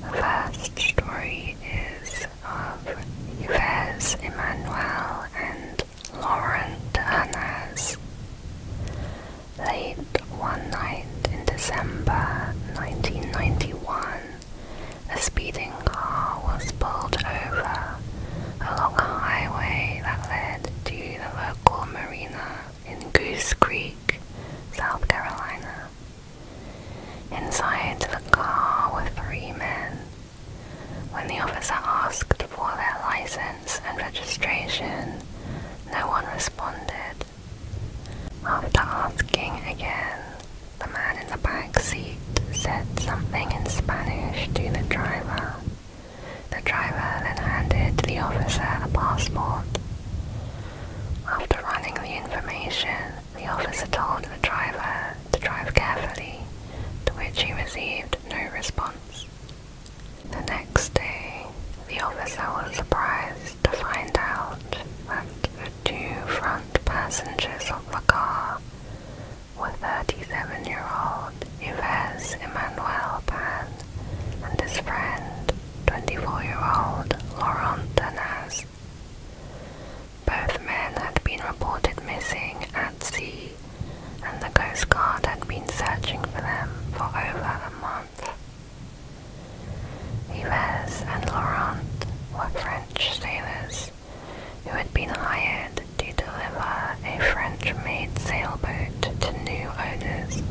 The first story is of Yves Emmanuel and Laurent Hannes. Late one night in December 1991, a speeding car was pulled over along a highway that led to the local marina in Goose Creek, South Carolina inside the car were three men. When the officer asked for their license and registration, no one responded. After asking again, the man in the back seat said something in Spanish to the driver. The driver then handed the officer a passport. After running the information, the officer told the driver to drive carefully, to which he received no response. The next day, the officer was surprised to find out that the two front passengers of the car were 37-year-old Yves Emmanuel Pan and his friend, 24-year-old Laurent Denaz. Both men had been reported missing at sea, and the Coast Guard had been searching for them for over a month. Yves and Laurent were French sailors who had been hired to deliver a French-made sailboat to new owners.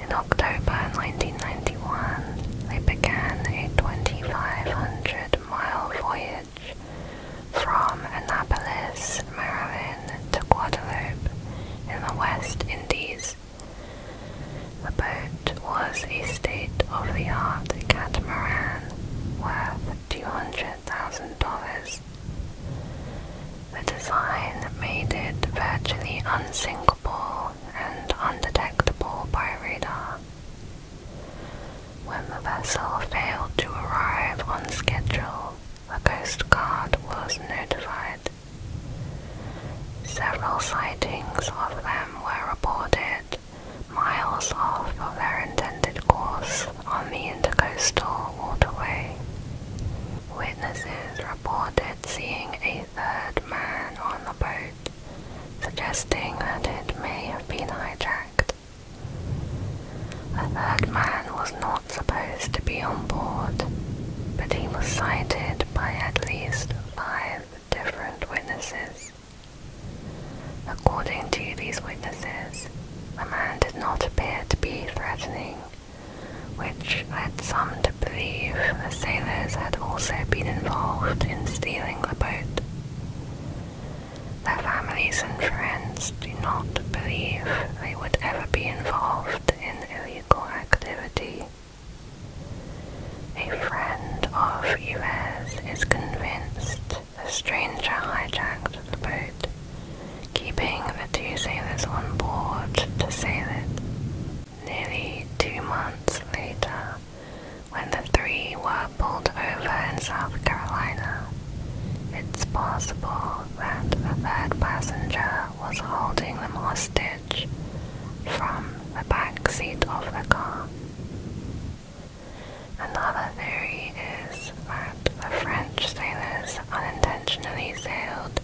In October 1991, they began a 2,500 mile voyage from Annapolis, Maryland to Guadeloupe in the West Indies. The boat was a state-of-the-art catamaran worth $200,000. The design made it virtually unsinkable and undetectable by radar. When the vessel failed to arrive on schedule, the Coast Guard was notified. Several sightings of them were reported miles off of their intended course on the intercoastal waterway. Witnesses reported seeing a a third man on the boat, suggesting that it may have been hijacked. A third man was not supposed to be on board, but he was cited by at least five different witnesses. According to these witnesses, the man did not appear to be threatening, which led some to believe the sailors had also been involved in stealing the boat. Their families and friends do not believe they would ever be involved in illegal activity. A friend of Yves is convinced the stranger hijacked the boat, keeping the two sailors on board to sail it. Nearly two months later, when the three were pulled over in South Carolina, it's possible that a third passenger was holding the hostage from the back seat of the car. Another theory is that the French sailors unintentionally sailed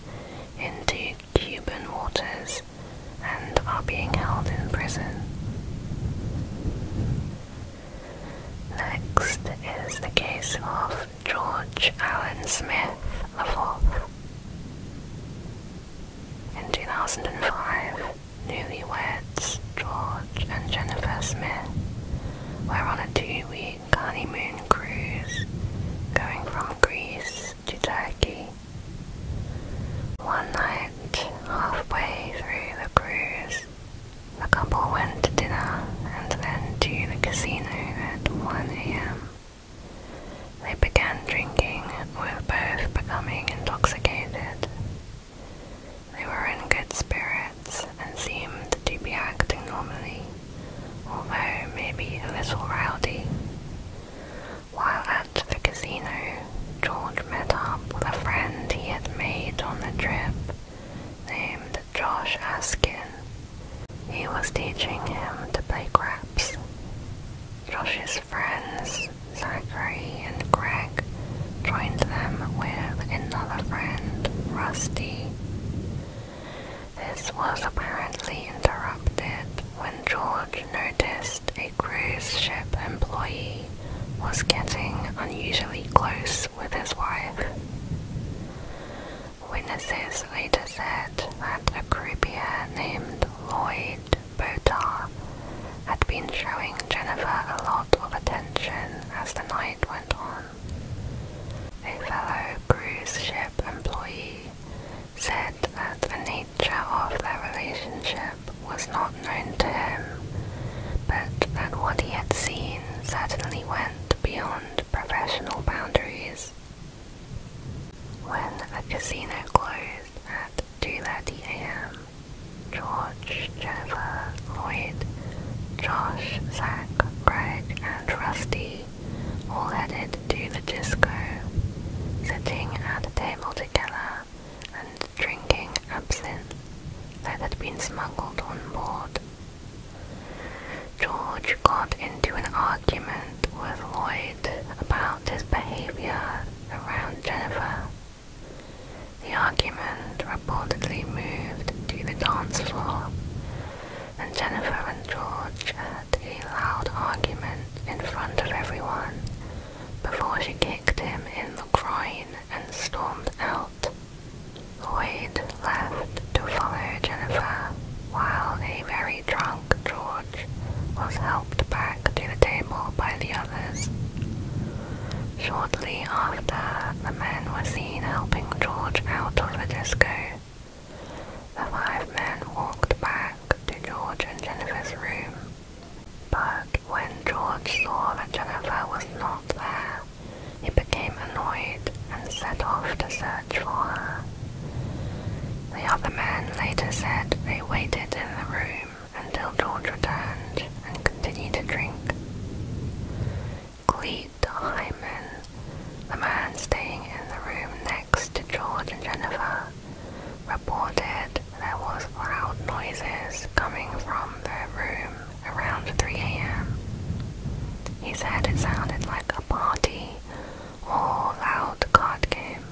into Cuban waters and are being held in prison. Next is the case of George Allen Smith IV. In 2005, newlyweds George and Jennifer Smith were on a two-week honeymoon cruise going from Greece to Turkey one night, halfway through the cruise, the couple went to dinner and then to the casino at 1 am. They began drinking, were both becoming intoxicated. They were in good spirits and seemed to be acting normally, although maybe a little rowdy. While at the casino, George met up with a friend he had made on the trip named Josh Askin. He was teaching him to play craps. Josh's friends, Zachary and Greg, joined them with another friend, Rusty. This was apparently interrupted when George noticed a cruise ship employee was getting unusually close with his wife. Witnesses later said that a croupier named Lloyd Botar had been showing Jennifer a lot of attention as the night went on. A fellow cruise ship employee said that a nature of their relationship was not known to him, but that what he had seen certainly went beyond professional boundaries. When the casino closed at 2.30 a.m., George, Jennifer, Lloyd, Josh, Zach, Craig, and Rusty all headed to the disco, sitting at a table together and drinking absinthe that had been smuggled on board. George got into an argument with Lloyd about his behavior around Jennifer. The argument reportedly moved to the dance floor, and Jennifer and George had a loud argument in front of everyone before she kicked him in the groin and stormed out. Lloyd left to follow Jennifer, while a very drunk George was helped back to the table by the others. Shortly after, the men were seen helping George out of the disco. The five men walked back to George and Jennifer's room but when George saw that Jennifer was not there, he became annoyed and set off to search for her. The other men later said they waited in the room until George returned and continued to drink. Cleet Hyman, the man staying in the room next to George and Jennifer, reported there was loud noises coming from the room around 3 a.m. He said it sounded like a party or loud card game.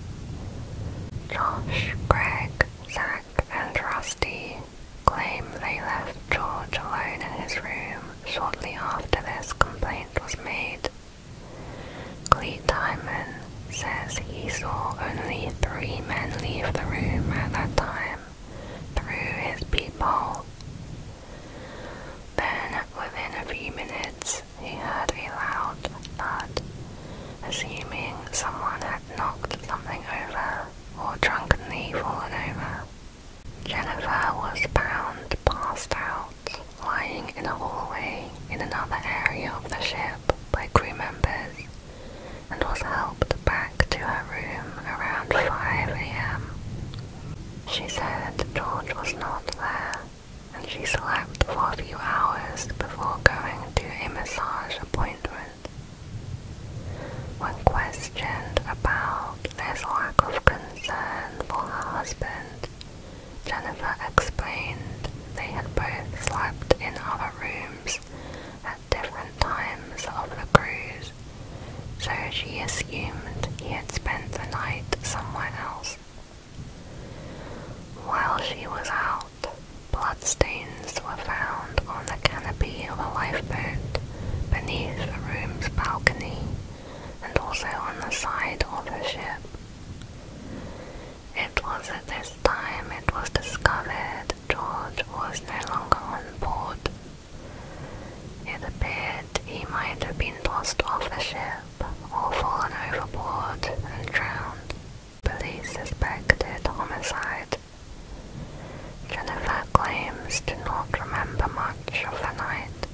Josh, Greg, Zach, and Rusty claim they left George alone in his room shortly after this complaint was made. Cleet Diamond says he saw only three men leave the room at that time through his peephole. Then, within a few minutes, he heard a loud thud, assuming someone had knocked something over or drunkenly fallen over. Jennifer was bound, passed out, lying in a hallway in another area of the ship by crew members and was helped back to her room around 5 a.m. She said George was not there and she slept for a few hours before going to a massage appointment. When questioned about this lack of concern for her husband, Jennifer explained they had both slept in other rooms at different times of the cruise, so she assumed he had spent the night somewhere else. While she was out, bloodstains were found on the canopy of a lifeboat beneath the room's balcony and also on the side of the ship. It was at this time it was discovered George was no longer on board. It appeared he might have been tossed off the ship or fallen overboard and drowned. Police suspected homicide. Jennifer claims to not remember much of the night,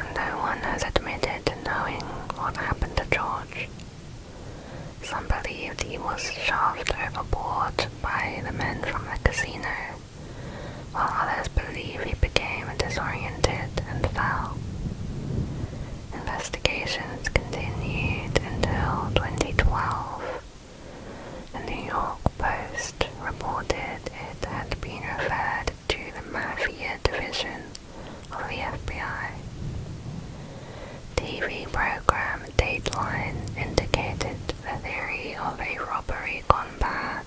and no one has admitted to knowing what happened to George. Some believed he was shoved overboard by the men from the casino, while others believe he became disoriented and fell. Investigations continued until 2012. The New York Post reported it had been referred to the Mafia Division of the FBI. TV program Dateline indicated the theory of a robbery gone bad.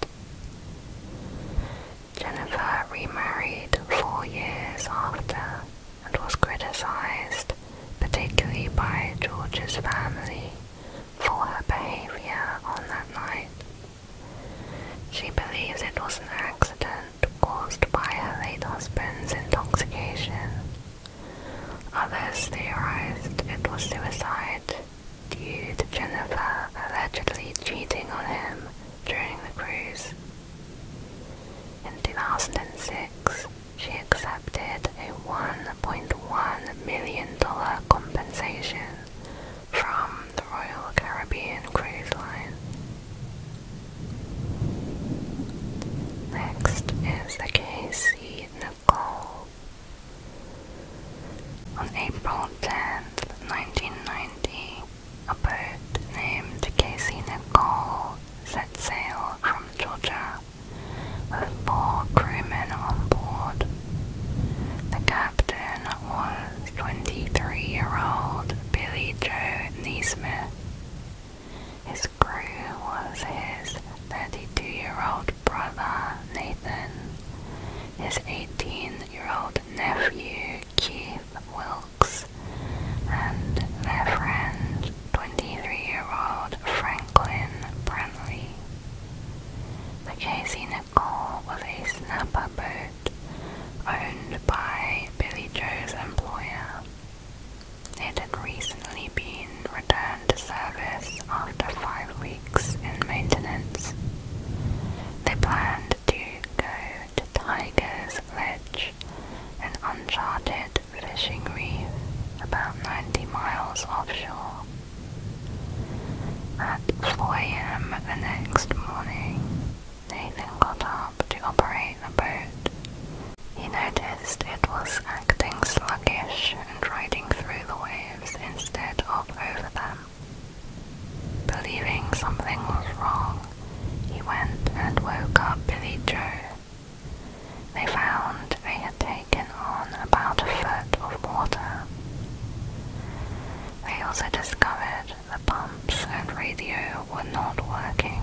Jennifer remarried four years after and was criticized, particularly by George's family, for her behavior on that night. She believes it was an accident caused by her late husband's intoxication Others theorized it was suicide due to Jennifer allegedly cheating on him during the cruise. In 2006, she accepted a $1.1 million compensation from the Royal Caribbean Cruise Line. Next is the K.C. Nicole. On April 10, 1990, a boat named Casey Nicole set sail from Georgia with four crewmen on board. The captain was 23-year-old Billy Joe Neesmith, his crew was his 32-year-old brother Nathan, his 18-year-old nephew Keith Wilks, and their friend 23-year-old Franklin Brantley. The Casey Nicole was a snapper boat owned by Billy Joe's employer, it had recently been returned to service after five weeks in maintenance. They planned to go to Tiger's Ledge, an uncharted fishing reef about 90 miles offshore. At 4 a.m. the next morning, Nathan got up to operate the boat he noticed it was acting sluggish and riding through the waves instead of over them. Believing something was wrong, he went and woke up Billy Joe. They found they had taken on about a foot of water. They also discovered the pumps and radio were not working.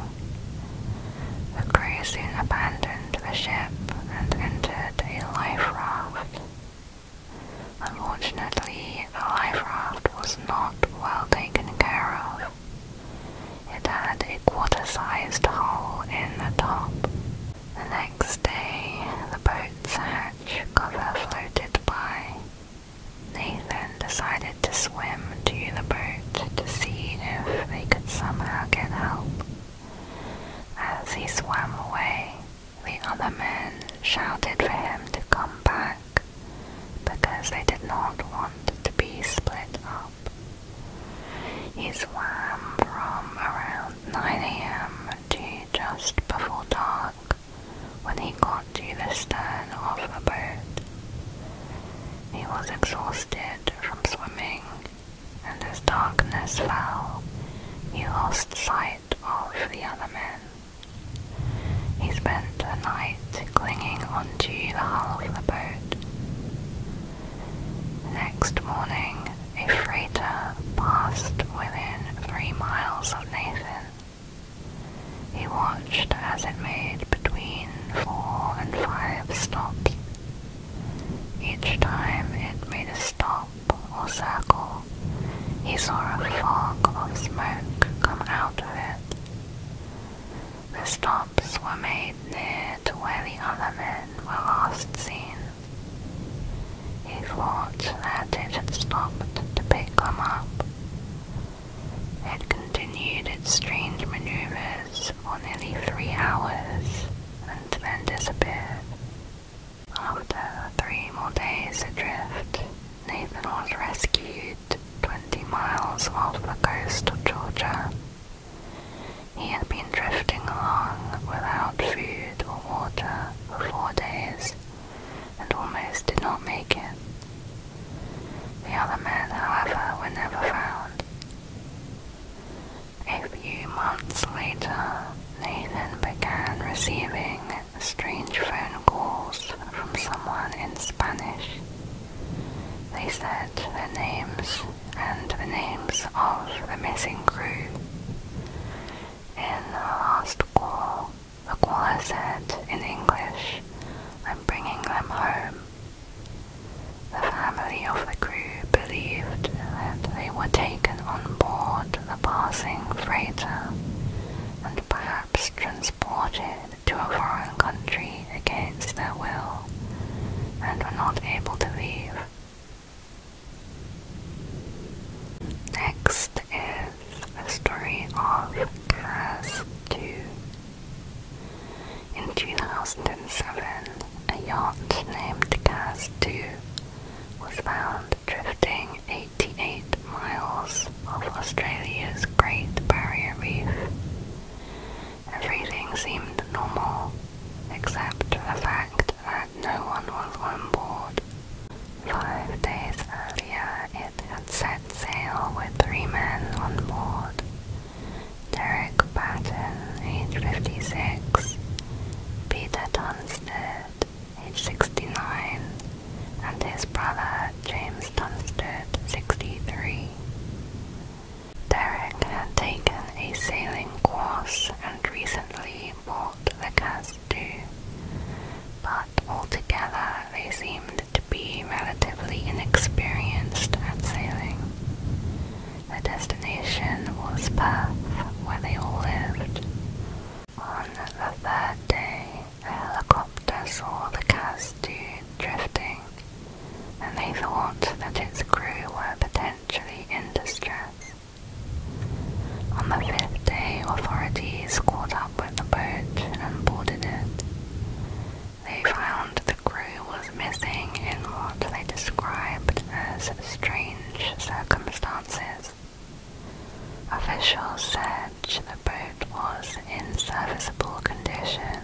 The crew soon abandoned abandoned the ship and entered a life raft. Unfortunately, the life raft was not well taken care of. It had a quarter-sized hole in the top. The next day, the boat's hatch cover floated by. Nathan decided to swim to the boat to see if they could somehow get help. As he swam away, the other men shouted for him to come back because they did not want to be split up. He swam from around 9 a.m. to just before dark when he got to the stern of the boat. He was exhausted from swimming and as darkness fell, he lost sight of the other men. He spent the night clinging onto the hull of the boat. Next morning, a freighter passed within three miles of Nathan. He watched as it made between four and five stops each time it made a stop or circle, he saw a fog of smoke come out of it. The stops were made near to where the other men were last seen. He thought that it had stopped to pick them up. It continued its strange maneuvers for nearly three hours and then disappeared. After three more days adrift, Nathan was rescued 20 miles off the coast of Georgia. He had been drifting along without food or water for four days and almost did not make it. The other men, however, were never found. A few months later, Nathan began receiving strange phone calls from someone in Spanish. They said their names and the names of the missing crew. In the last call, the caller said in English, I'm bringing them home. The family of the crew believed that they were taken on board the passing freighter and perhaps transported to a foreign country against their will and were not able to leave. Next is the story of Kaz 2. In 2007, a yacht named Cast 2 was found drifting 88 miles off Australia's Great Barrier Reef. Everything seemed normal, except for the fact that no one was on board. Five days earlier, it had set sail with three men on board, Derek Patton, age 56, Peter Tunstead, age 69, and his brother James Tunstead, 63. Derek had taken a sailing course and recently bought the Casdu, but altogether they seemed to be relatively inexperienced at sailing. Their destination was Perth, where they all lived. On the third day, a saw the Casdu drifting, and they thought that its crew were potentially in distress. On the fifth day, authorities caught up with the boat and boarded it. They found the the was missing in what they described as strange circumstances. Officials said the boat was in serviceable condition,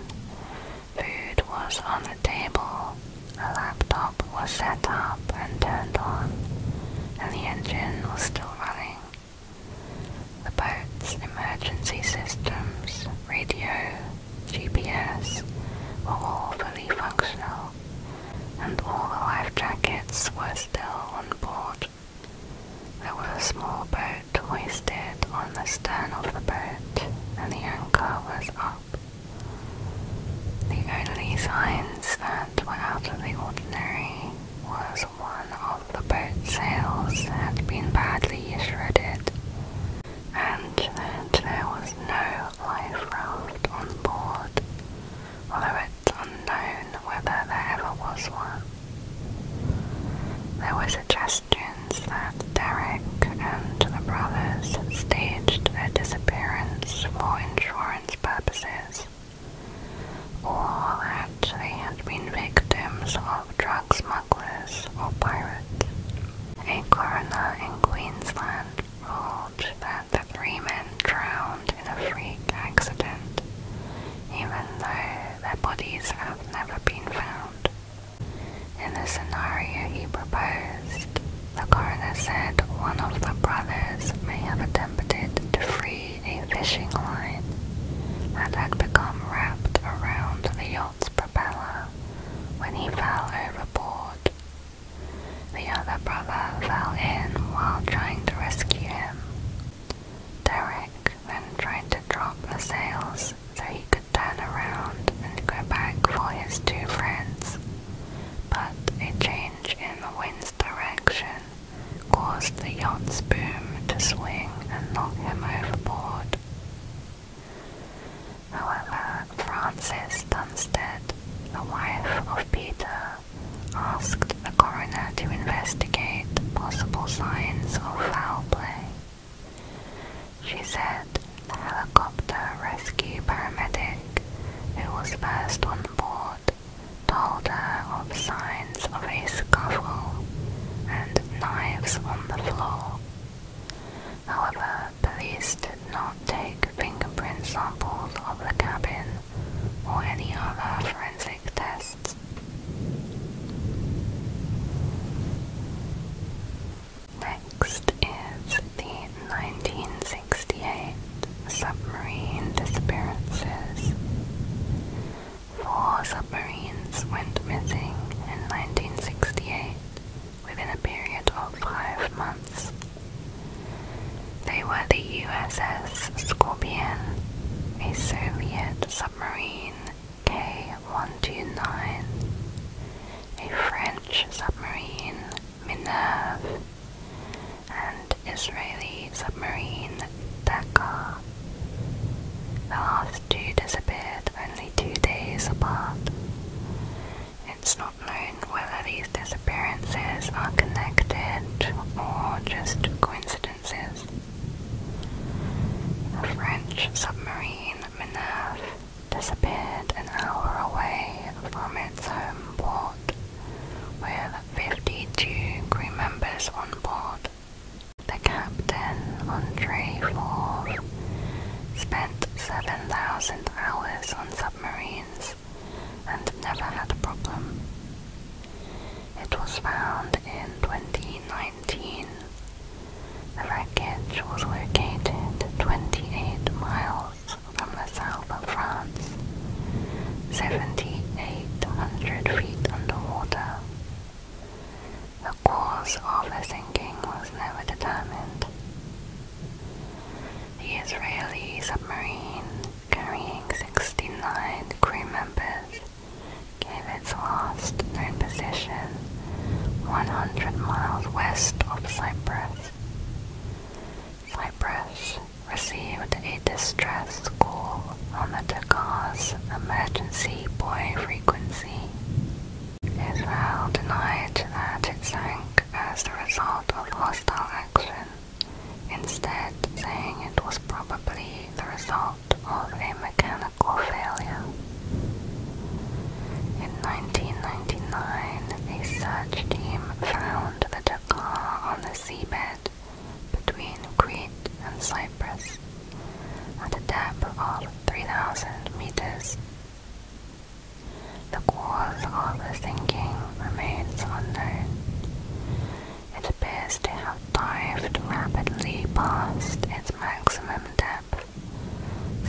food was on the table, a laptop was set up and turned on, and the engine was still running. The boat's emergency systems, radio, GPS were all fully functional, and all the life jackets were still on board. There was a small boat hoisted on the stern of the boat, and the anchor was up. The only signs that were out of the ordinary was one of the boat's sails had been badly shredded, and that there was no life raft on board, although it's unknown whether there ever was one. There were suggestions that Derek and the brothers staged their disappearance for insurance purposes, or that they had been victims of drug smugglers or pirates. A coroner in Queensland ruled that the three men drowned in a freak accident, even though their bodies have never been found. In the scenario he proposed, the coroner said one of the brothers may have attempted to free a fishing line that had become wrapped around the yacht's propeller when he fell overboard the other brother fell in while trying to rescue him. Derek then tried to drop the sails so he could turn around and go back for his two friends, but a change in the wind's direction caused the yacht's boom to swing and knock him overboard. However, Frances Dunstead, the wife of Peter, asked the coroner to investigate possible signs of foul play. She said the helicopter rescue paramedic, who was first on board, told her of signs of a scuffle and knives on the floor. However, police did not take fingerprint samples of the cabin or any other forensic tests. Next is the 1968 submarine disappearances. Four submarines went missing in 1968 within a period of five months. They were the USS Scorpion, a Soviet submarine K-129, a French submarine Minerve, and Israeli submarine Dakar. The last two disappeared only two days apart. It's not known whether these disappearances are connected or just coincidences. A French submarine Minerve disappeared an hour away from its home port with 52 crew members on board. The captain, Andre Four, spent 7,000 hours on submarines and never had a problem. It was found in 2019. The wreckage was located 28 miles from the south of France, 7,800 feet underwater. The cause of the sinking was never determined, the Israeli submarine, carrying 69 crew members, gave its last known position 100 miles west of Cyprus. Cyprus received a distress call on the Tagar's emergency buoy frequency. Israel denied that it sank as the result of hostile action, instead saying it was probably the result of a mechanical failure. In 1999, a search team found the Dakar on the seabed between Crete and Cyprus at a depth of 3,000 meters. The cause of the sinking remains unknown. It appears to have dived rapidly past its maximum depth,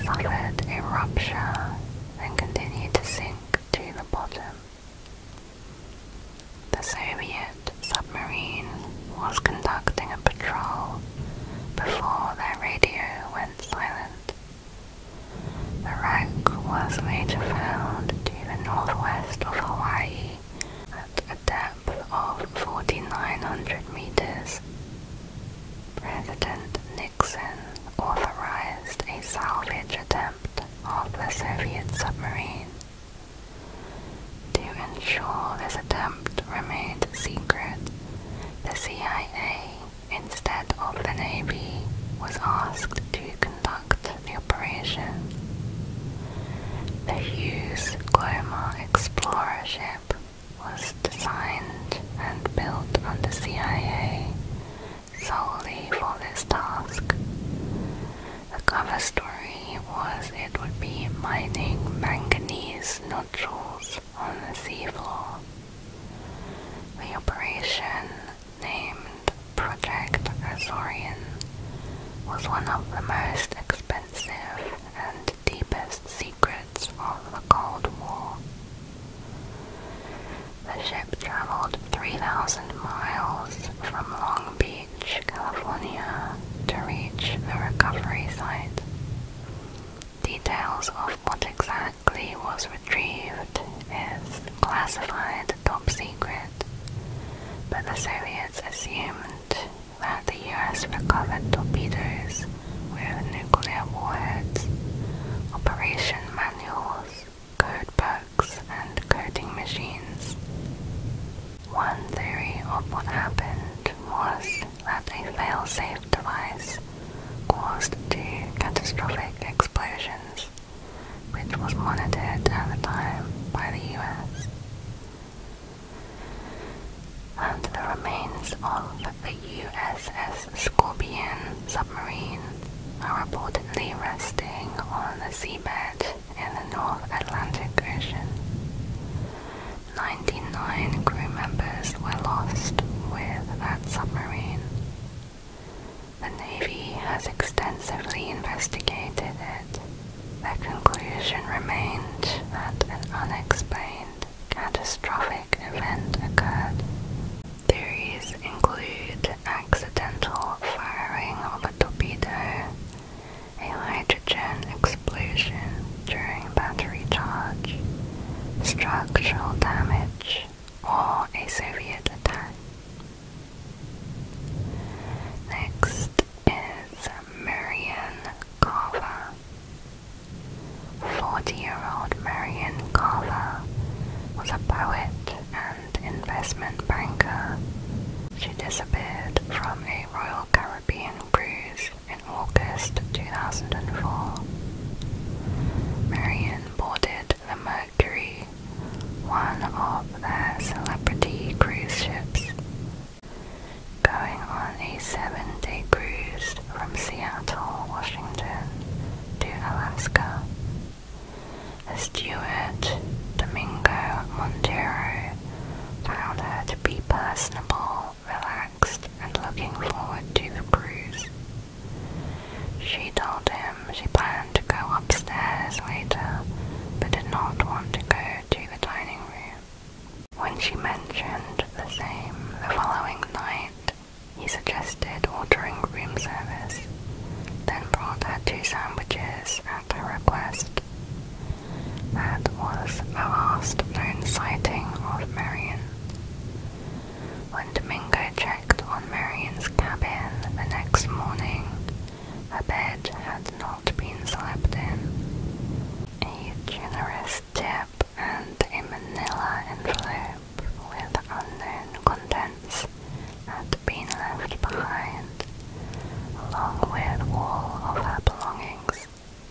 suffered a rupture, and continued to sink to the bottom. The Soviet submarine was conducting a patrol before their radio went silent. The wreck was later found to the northwest of Hawaii at a depth of 4,900 meters. President Nixon authorized a salvage attempt of the Soviet submarine. To ensure this attempt remained secret, the CIA instead of the Navy, was asked to conduct the operation. The Hughes Glomar Explorer ship was designed and built the CIA solely for this task. The cover story was it would be mining manganese nodules on the seafloor. The operation named Project Azorian, was one of the most expensive and deepest secrets of the Cold War. The ship traveled 3,000 miles from Long Beach, California to reach the recovery site. Details of what exactly Clee was retrieved is classified top secret, but the Soviets assumed that the US recovered torpedoes with nuclear warheads, operation manuals, code books, and coding machines. One theory of what happened was that a failsafe device caused the catastrophic explosions which was monitored at the time by the US, and the remains of the USS Scorpion submarine are reportedly resting on the seabed in the North Atlantic Ocean. 99 crew members were lost with that submarine. The Navy has extensively investigated it. The conclusion remained that an unexplained, catastrophic event occurred. Theories include accidental firing of a torpedo, a hydrogen explosion during battery charge, structural damage, British or a Soviet attack. Next is Marian Carver. 40 year old Marian Carver was a poet and investment banker. She disappeared from a Royal Caribbean cruise in August 2004. Marian boarded the Mercury, one of the celebrity cruise ships, going on a seven-day cruise from Seattle, Washington to Alaska. The steward, Domingo Montero, found her to be personable, relaxed, and looking forward to the cruise. She told him she planned to go upstairs later, but did not want to go to the dining room. When she mentioned the same the following night, he suggested ordering room service, then brought her two sandwiches at her request. That was the last known sighting of Marion. When Domingo Chen on Marion's cabin the next morning, her bed had not been slept in. A generous tip and a manila envelope with unknown contents had been left behind, along with all of her belongings,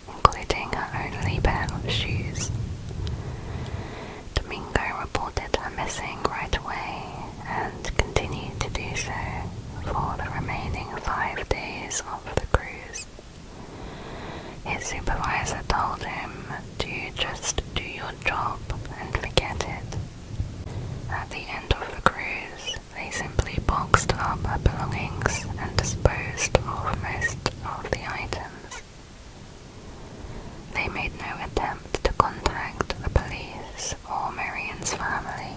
including her only pair of shoes. Domingo reported her missing right away and continued to do so for the remaining five days of the cruise. His supervisor told him to just do your job and forget it. At the end of the cruise, they simply boxed up her belongings and disposed of most of the items. They made no attempt to contact the police or Marion's family.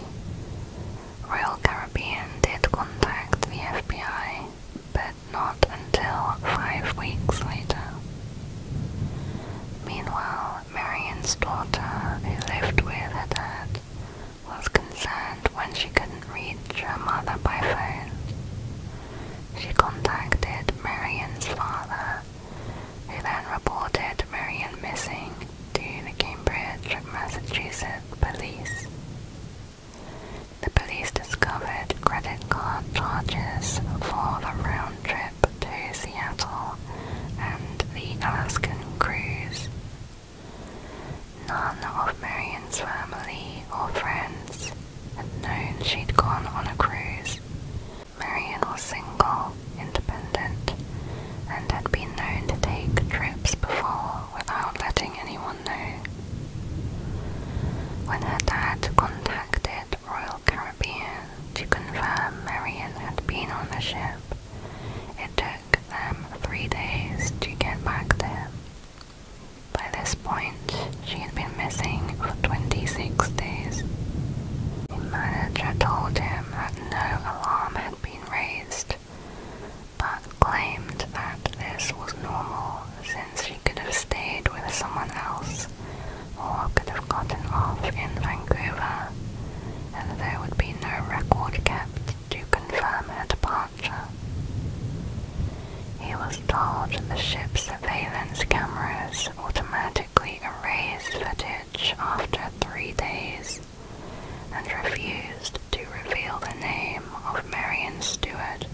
Royal Caribbean did contact the FBI, but not until five weeks later. Meanwhile, Marion's daughter, who lived with her dad, was concerned when she couldn't reach her mother by phone. She contacted Marion's father he then reported Marion missing to the Cambridge, Massachusetts police. The police discovered credit card charges for the round trip to Seattle and the Alaskan cruise. None of Marion's family or friends had known she'd gone on a cruise, Marion was single, independent, and had been known to take trips before without letting anyone know. When her dad contacted Royal Caribbean to confirm Marion had been on the ship, it took them three days to get back to him. By this point, she had been missing for 26 days. The manager told him that no alarm had been raised, but claimed that this was normal since she could have stayed with someone else or could have gotten off in Vancouver, and there would be no record kept to confirm her departure. He was told that the ship's surveillance cameras automatically erased footage after three days and refused to reveal the name of Marion Stewart.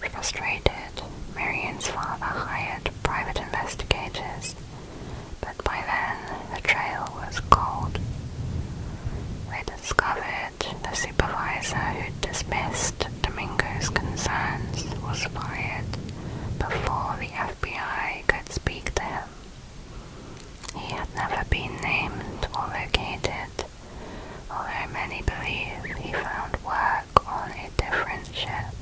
Frustrated, Marion's father hired private investigators, but by then the trail was cold. We discovered the supervisor who dismissed Domingo's concerns was fired before the FBI could speak to him. He had never been named or located, although many believe he found work on a different ship.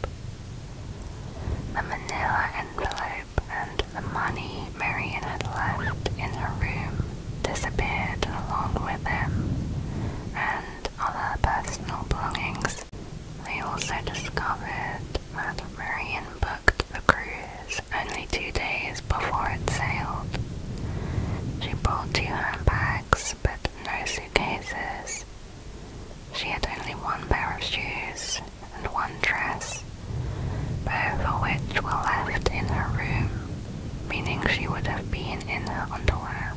The manila envelope and the money Marion had left in her room disappeared along with him, and other personal belongings they also discovered that Merian booked the cruise only two days before it sailed. She brought two handbags but no suitcases. She had only one pair of shoes and one dress, both of which were left in her room, meaning she would have been in her underwear.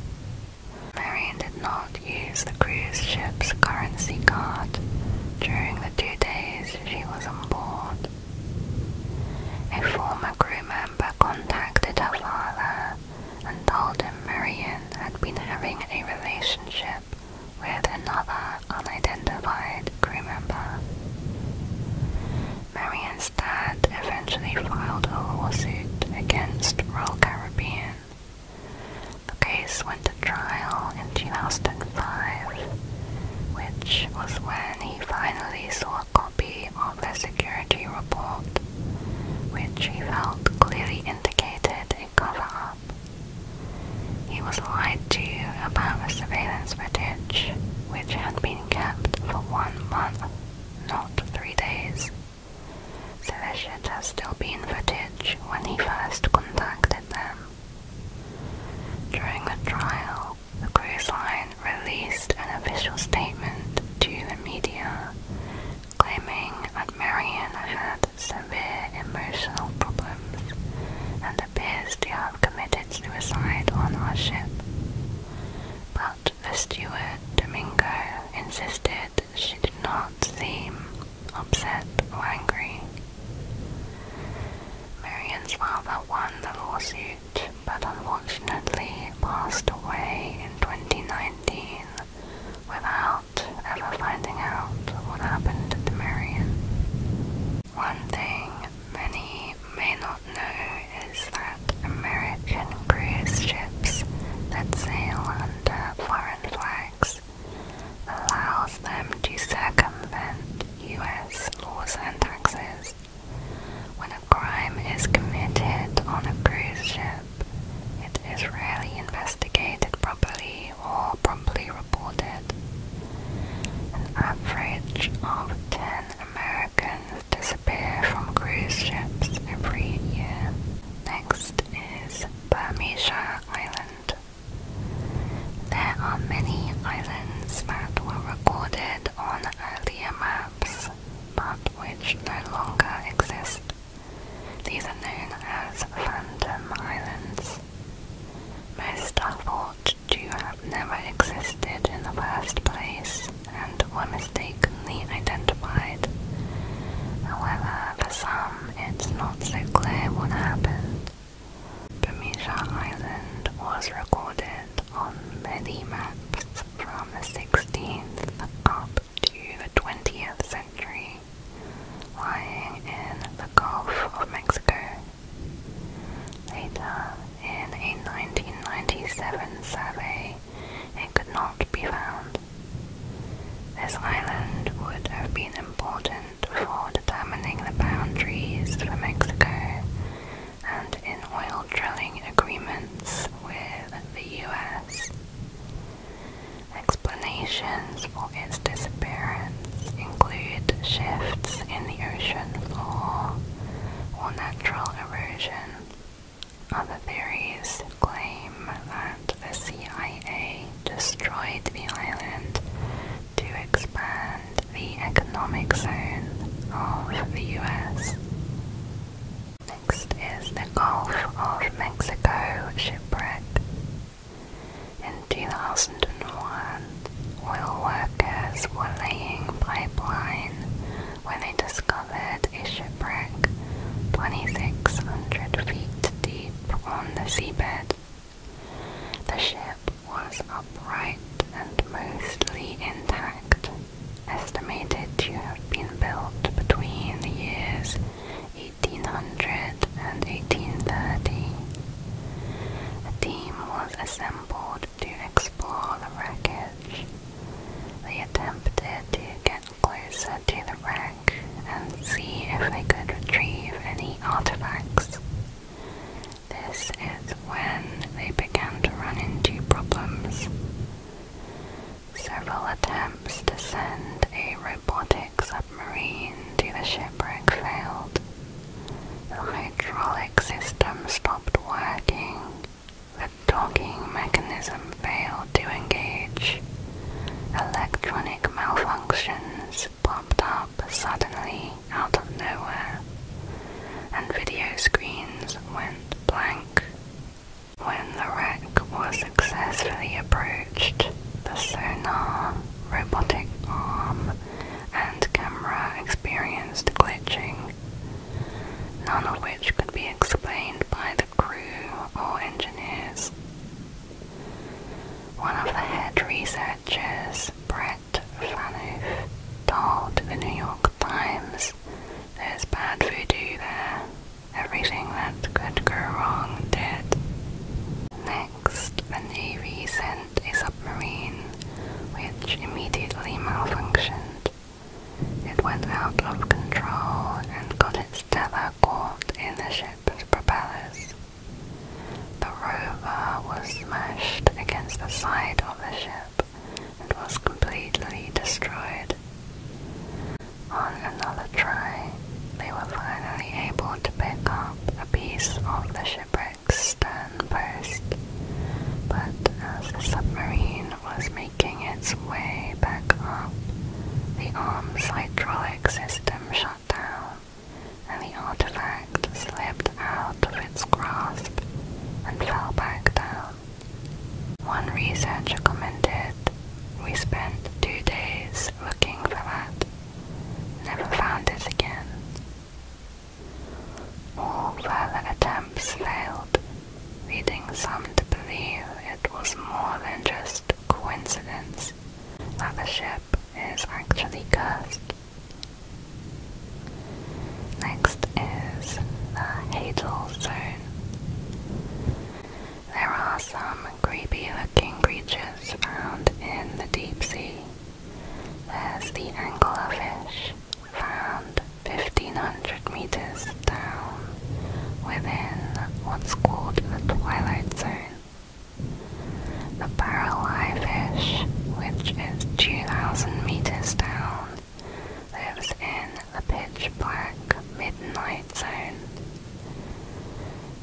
Marian did not use the cruise ship's currency card during the two days she was on board. A former crew member contacted her father and told him Marian had been having a relationship with another unidentified crew member. Marian's dad eventually filed a lawsuit against Royal Caribbean the case went to trial in 2005, which was when he finally saw a copy of a security report, which he felt clearly indicated a cover-up. He was lied to about a surveillance footage, which had been kept for one month, not three days so there should have still been footage when he first contacted them. During the trial, the cruise line released an official statement to the media claiming that Marion had severe emotional problems and appears to have committed suicide on our ship. But the steward, Domingo, insisted she did not seem upset or angry. Marian's father won the lawsuit, but unfortunately passed away in 2019 without ever finding out what happened to Marian. One thing many may not know is that American cruise ships that sail under foreign flags allows them to circumvent U.S. laws and taxes. When a crime is committed on a cruise ship, it is rarely investigated properly or promptly reported. An average of 10 Americans disappear from cruise ships every year. Next is Bermuda Island. There are many islands that were recorded on earlier maps but which no longer exist. These are known as Phantom Islands. Most are thought to have never existed in the first place and were mistakenly identified. However, for some, it's not so clear what happened. Bamisha Island was recorded on many maps from the 16th up to the 20th century, lying in the Gulf of Mexico. Later, in a 1997 survey, it could not be found. This island would have been important for determining the boundaries for Mexico and in oil drilling agreements with the US. Explanations for its disappearance include shifts in the ocean floor or natural erosion. Other theories claim that the CIA destroyed the island to expand the economic zone of the US. Next is the Gulf of Mexico shipwreck. In 2001, oil workers were laying pipeline when they discovered a shipwreck 2,600 feet deep on the seabed. The ship was upright and mostly intact, estimated to have been built between the years 1800 and 1830. A team was assembled to explore the wreckage. They attempted to get closer to the wreck and see if they could retrieve any artifacts. This is when they began to run into problems. Several attempts to send a robotic submarine to the shipwreck failed. The hydraulic system stopped working. The docking mechanism failed to engage. Electronic malfunctions popped up suddenly out of nowhere, and video screens went blank. When the wreck was successfully approached, the sonar, robotic arm, and camera experienced glitching, none of which could be explained by the crew or engineers. One of the head researchers, Brett Fanoff, told the New York Times there's bad voodoo there. Everything that could go wrong did. Next, the Navy sent a submarine which immediately malfunctioned. It went out of control and got its tether caught in the ship's propellers. The rover was smashed against the side of the ship and was completely destroyed. On another try, they were finally able to pick up a piece of the shipwreck's stern but as the submarine was making its way back up, the arm's hydraulic system shut down, and the artifact slipped out of its grasp and fell back down. One researcher commented, We spent two days looking for that. Never found it again. All further attempts failed, leading some to believe it was more than just coincidence that a ship ship is actually cursed. Next is the Hadal Zone. There are some creepy looking creatures found in the deep sea. There's the anglerfish, found 1500 meters down within what's called the Twilight Zone. The eye fish, which is 2,000 meters down, lives in the pitch black midnight zone.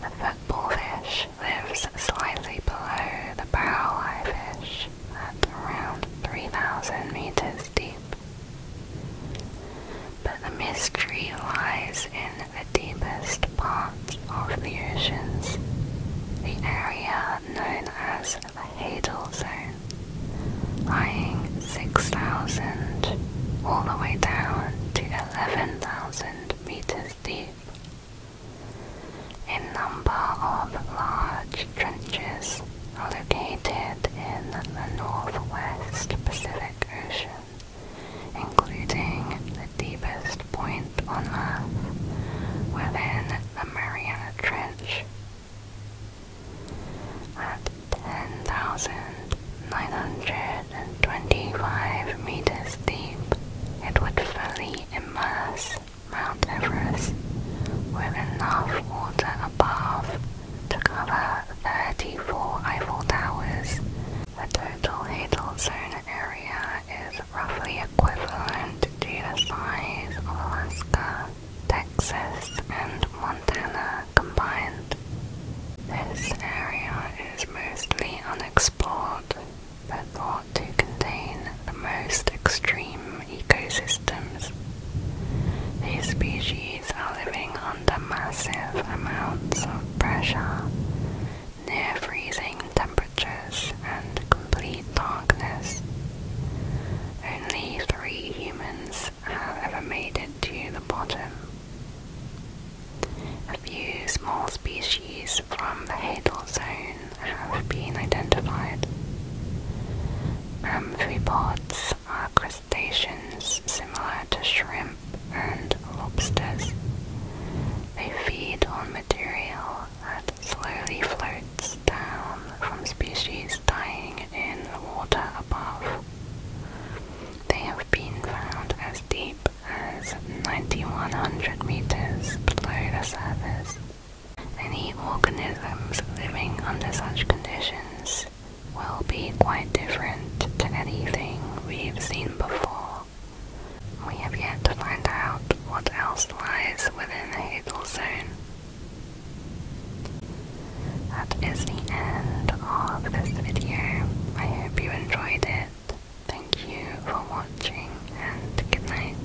The football fish lives slightly below the barrel-eye fish at around 3,000 meters deep. But the mystery lies in in the deepest parts of the oceans, the area known as the Hadal Zone, lying 6,000 all the way down to 11,000 meters deep. A number of large trenches are located in the northwest Pacific Ocean including the deepest point on Earth within the Mariana Trench. At 10,925 meters deep, it would fully immerse Mount Everest with enough water above to cover 34 Eiffel Towers the total hadal zone area is roughly equivalent to the size of Alaska, Texas, and Montana combined. This area is mostly unexplored, but thought to contain the most extreme ecosystems. These species are living under massive amounts of pressure, near freezing temperatures and complete darkness. Only three humans have ever made it to the bottom. A few small species from the Hadal zone have been identified. Amphipods are crustaceans similar to shrimp and lobsters, they feed on material that slowly floats down from species dying in the water above. They have been found as deep as 9100 meters below the surface. Any organisms living under such conditions will be quite different to anything we've seen before. We have yet to find out what else lies within the Hadal Zone. That is the end of this video. I hope you enjoyed it. Thank you for watching and good night.